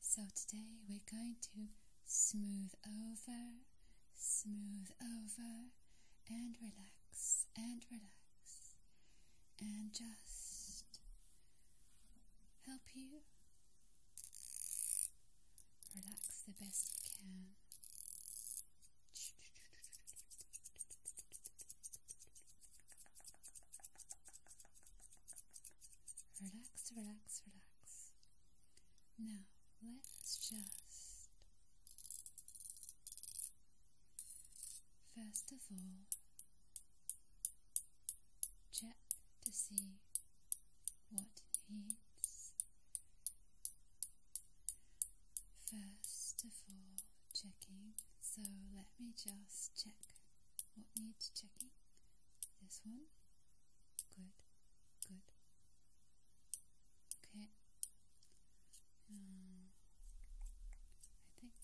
So today we're going to smooth over, smooth over, and relax, and relax, and just help you relax the best you can. Relax, relax, relax. Now, let's just. First of all, check to see what needs. First of all, checking. So let me just check what needs checking. This one? Good. Good. Okay. Um, I think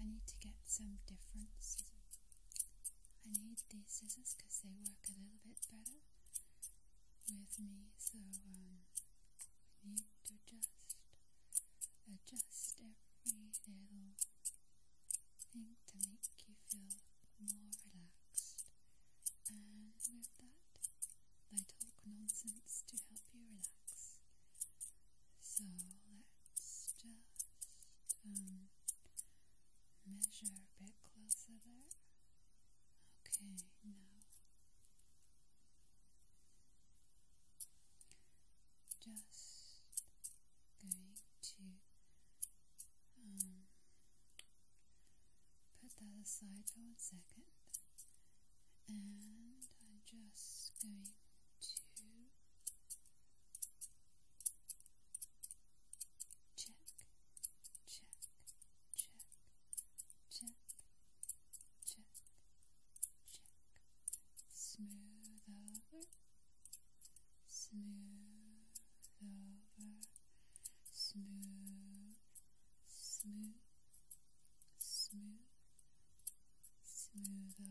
I need to get some different scissors. I need these scissors because they work a little bit better with me, so um, I need to just adjust every little thing to make you feel more relaxed. And with that, I talk nonsense to help you relax. So let's just um, measure a bit closer there. Okay, now just going to um, put that aside for one second and I'm just going to check, check, check, check, check, check, smooth over smooth over, smooth, smooth, smooth, smooth over.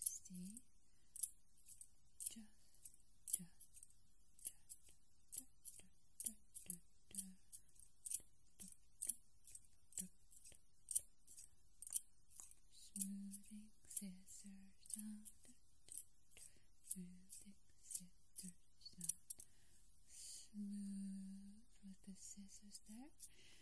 see? Just, just, just, just, just, just, Smoothing scissors sound, smoothing scissors sound, smooth with the scissors there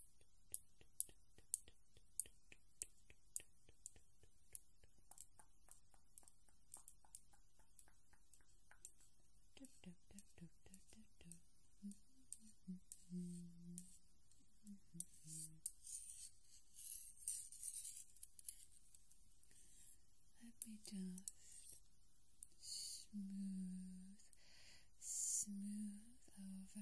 let me just smooth, smooth over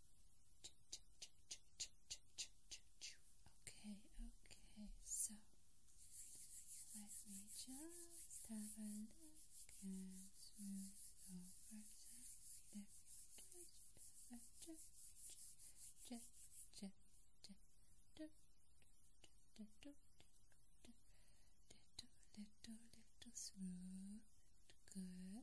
Okay, okay, so let me just have a look smooth over the little, little, little smooth, good.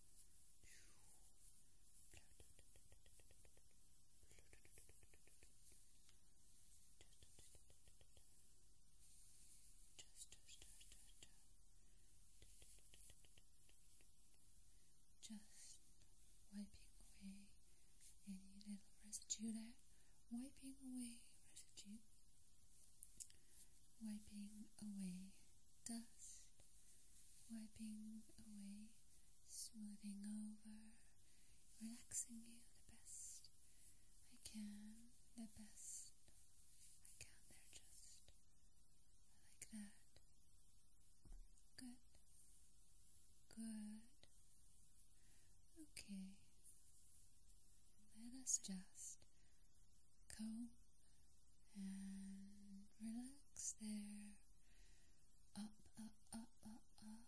Just wiping away any little residue Wiping away residue. Wiping away the wiping away, smoothing over, relaxing you the best I can, the best I can there just like that. Good. Good. Okay. Let us just go and relax there. Up, up, up, up, up.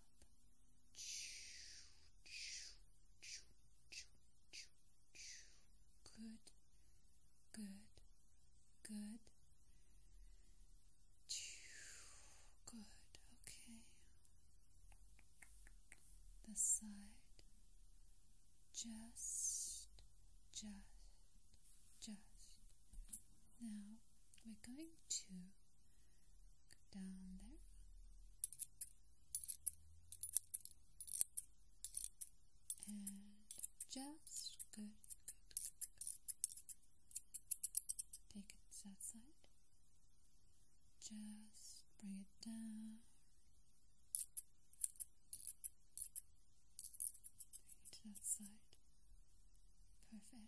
Good, good, good. Good, okay. This side just, just, just. Now we're going to go down there. And just good, Take it that side. Just bring it down, to that side. Perfect. Perfect.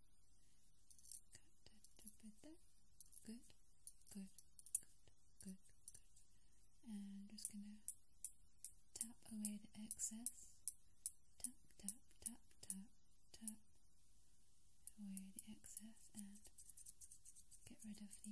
Cut Good, good, good, good, good. And just gonna tap away the excess. Tap, tap, tap, tap, tap away the excess and get rid of the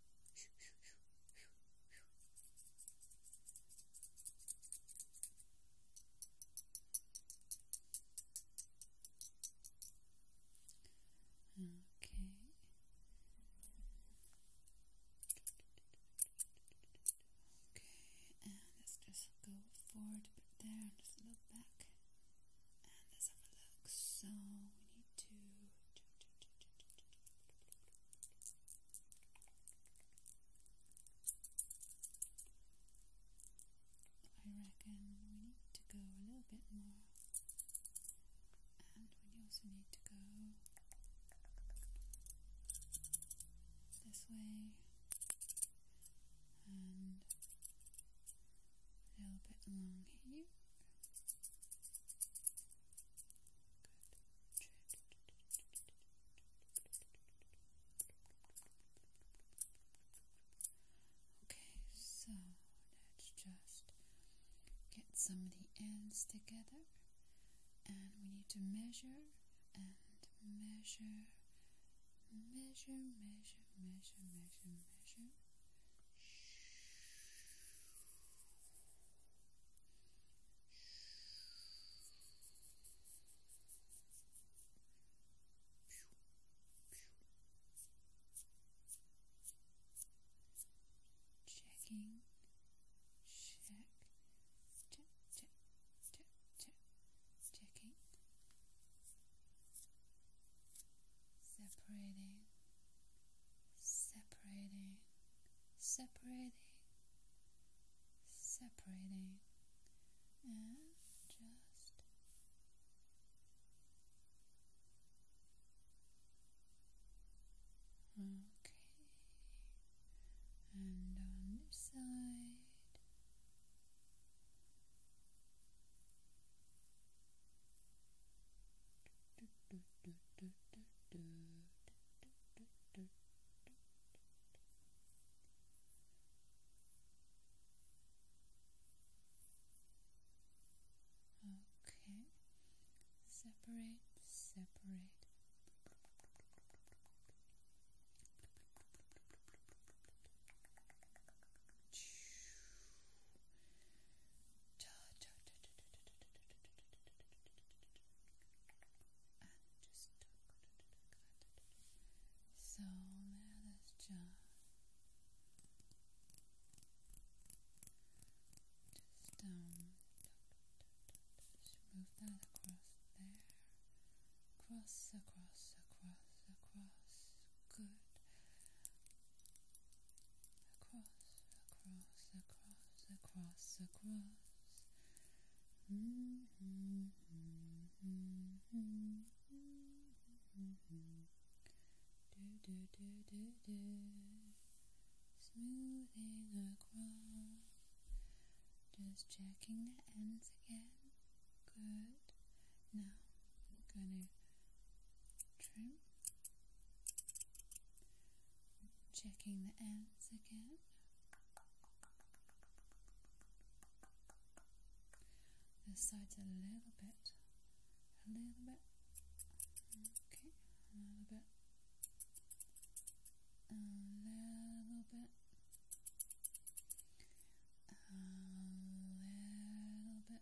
Okay. Okay, and let's just go forward a bit just look back and let's have a look. So we need to I reckon we need to go a little bit more, and we also need to go this way and a little bit along here. Okay, so let's just get some of the ends together, and we need to measure and measure, measure, measure, measure, measure, measure. Checking, check, check, check, check, check, checking, separating separating, separating, separating, and just okay. And on this side. Okay, separate, separate and just so now let's just um move that across there cross across across across good across, across, across, across, across. Mm -hmm, mm -hmm, mm -hmm, do do do do do, smoothing across. Just checking the ends again. Good. Now I'm gonna trim Checking the ends again. This side's a little bit, a little bit, okay, a little bit, a little bit, a little bit,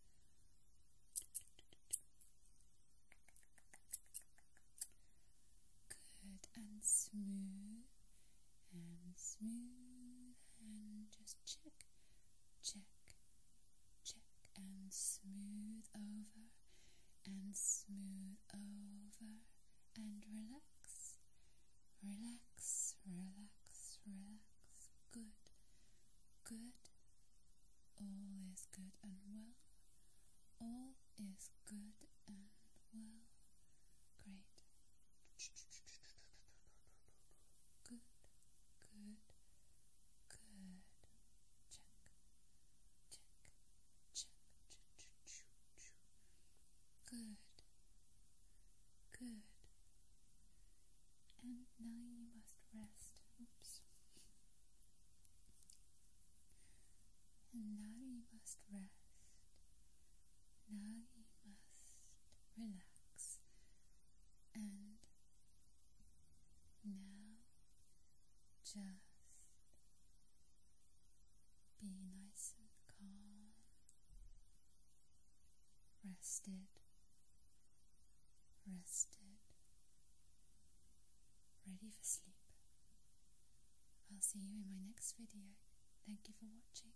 Good and smooth and smooth and just check, check, check and smooth over and smooth over and relax, relax, relax, relax. Good, good, all is good and well. All is good and well. Great. Good, good, good. Check, check, check. Good, good, and now you must rest. Oops. And now you must rest. Now you must relax. And now just be nice and calm, rested, rested, ready for sleep. I'll see you in my next video. Thank you for watching.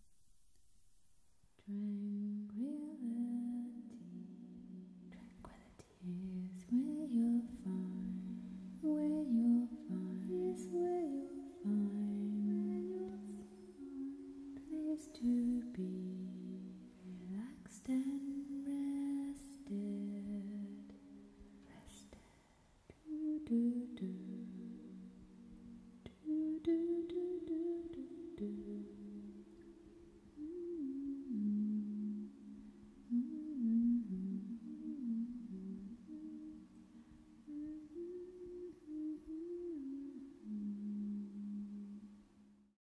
Tranquility, tranquility is where you'll find, where you'll find, is where you'll find, where you'll find, place to be relaxed and rested, rested. Do do do do do do do do do.